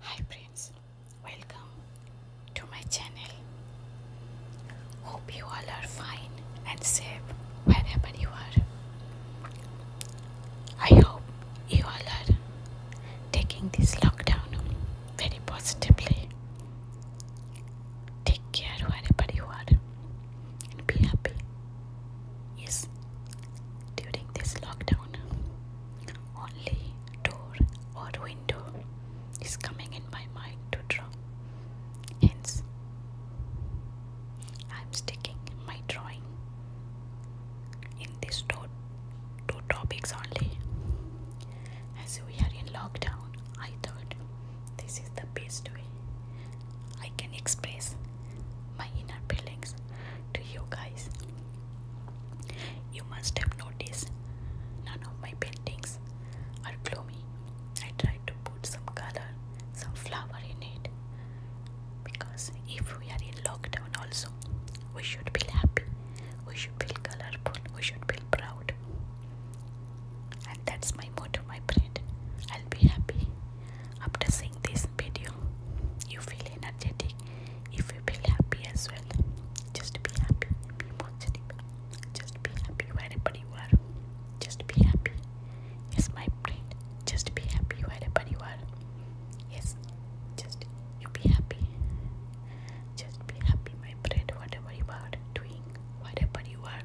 Hi friends, welcome to my channel. Hope you all are fine and safe wherever you are. I hope you all are taking this lockdown very positively. Take care wherever you are and be happy. Yes, during this lockdown. Only door or window is coming in my mind to draw. Hence, I'm sticking my drawing in these two, two topics only. As we are in lockdown, I thought this is the best way I can express my inner feelings to you guys. You must have noticed none of my paintings are gloomy. I try to put some color, some flower in it because if we are in lockdown, also we should feel happy, we should feel colorful, we should feel proud. And that's my motto, my friend. I'll be happy, after seeing this video, you feel energetic. If you feel happy as well, just be happy. Be positive. Just be happy wherever you are. Just be happy. Yes, my friend. Just be happy wherever you are. Yes, just you be happy. Just be happy, my friend, whatever you are doing wherever you are,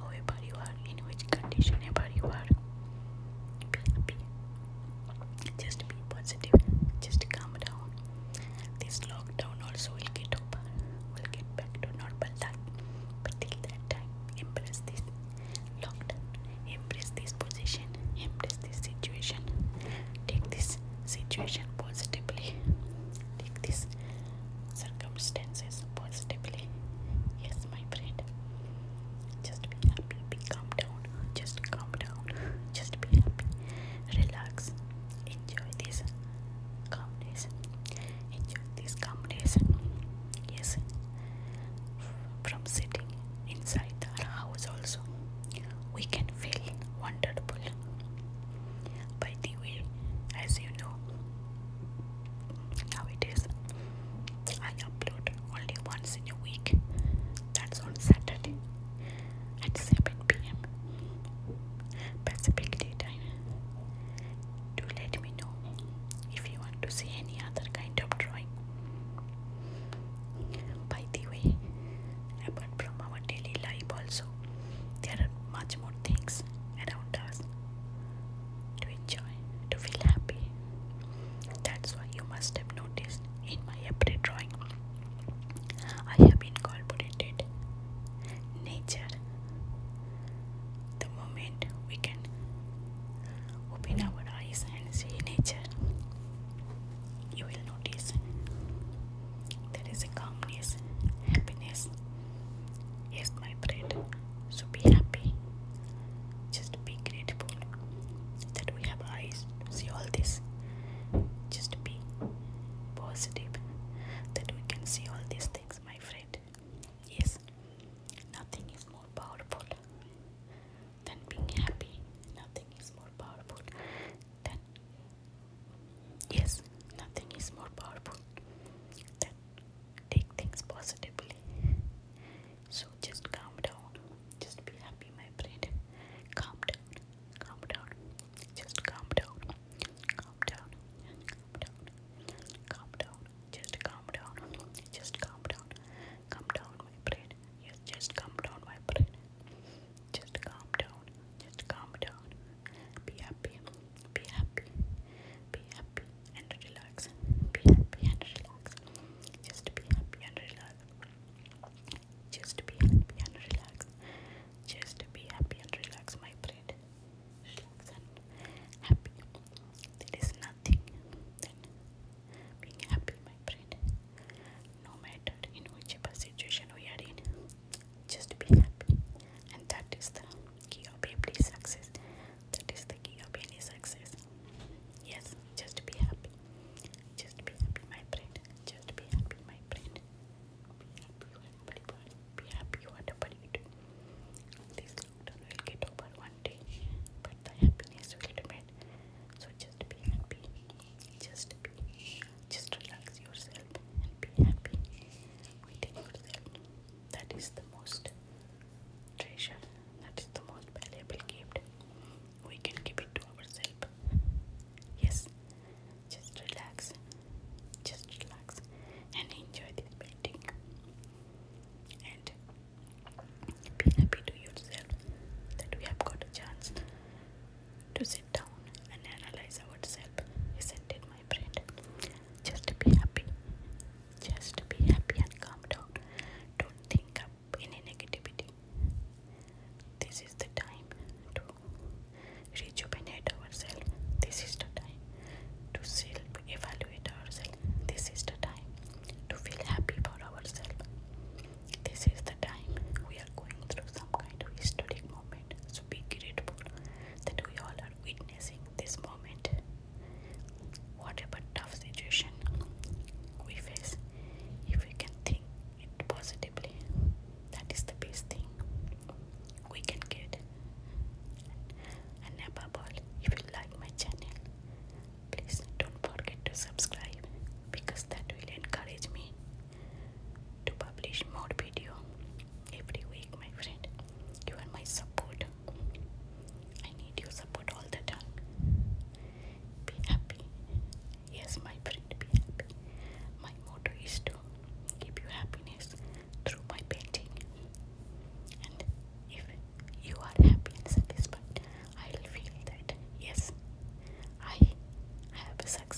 however you are, in which condition ever you are. Be happy. Just be positive. Just calm down. This lockdown also will get over. We'll get back to normal life. But till that time, embrace this lockdown. Embrace this position. Embrace this situation. Take this situation positively. Take this circumstances positively. Yes, my friend. Just be happy, be calm down, just calm down, just be happy, relax, enjoy this calmness, enjoy this calmness. Yes, from sitting inside our house, also we can feel wonderful. By the way, as you know, Nowadays, I upload only once in a week. That's on Saturday at 7 pm Pacific Daytime. Do let me know if you want to see any other kind of drawing. By the way, apart from our daily life, also there are much more things around us to enjoy, to feel happy. That's why you must have noticed in my every drawing I have incorporated nature. The moment we can open our eyes and see nature, you will notice there is a calmness, happiness. Yes, my friend. So be happy. Just be grateful that we have eyes to see all this. Just be positive that we can see all these things, my friend. Yes, nothing is more powerful than being happy. Nothing is more powerful than Yes, nothing is more powerful than take things positively. So just calm down. Just be happy, my friend. Calm down. Calm down. Just calm down. Calm down. Calm down. Calm down. Just calm down. Just calm down. Calm down, my friend. Yes, just calm down, my friend. Just calm down. Just calm down. Be happy. Be happy. Be happy and relax. Be happy and relax. Just be happy and relax. Just be happy and relax. Just be happy and relax, my friend. Relax and happy. There is nothing being happy, my friend. No matter in whichever situation we are in, just be happy, and that is the key of every success. That is the key of any success. Yes, just be happy. Just be happy, my friend. Just be happy, my friend. Be happy, whatever you do. This lockdown will get over one day, but the happiness will remain. So just be happy, just be, just relax yourself and be happy within yourself. That is the most treasure, that is the most valuable gift we can give it to ourselves. Yes, just relax, just relax and enjoy this painting. And be happy to yourself that we have got a chance to sit down and analyze ourselves, isn't it, my friend? Just be happy. Just be happy and calm down. Don't think up any negativity. This is the time to rejuvenate ourselves. This is the time to self evaluate ourselves. This is the time to feel happy for ourselves. This is the time we are going through some kind of historic moment. So be grateful that we all are witnessing this moment. Whatever tough situation we face, if we can think it positively, that is the best thing we can get. And above if you like my channel, please don't forget to subscribe because that will encourage me to publish more video every week, my friend. You are my support. I need your support all the time. Be happy. Yes, my friend, be happy. My motto is to give you happiness through my painting. And if you are happy and satisfied, I will feel that yes, I have a success,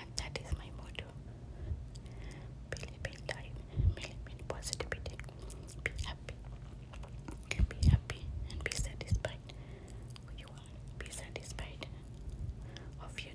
And that is my motto. Believe in life, believe in positivity, be happy, be happy and be satisfied. You are be satisfied of your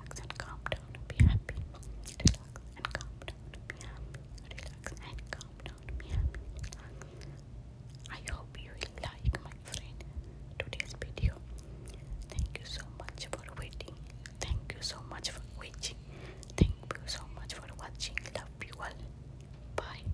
relax and calm down be happy. Relax and calm down be happy. Relax and calm down be happy. I hope you like my friend today's video. Thank you so much for waiting. Thank you so much for watching. Thank you so much for watching. Love you all. Bye.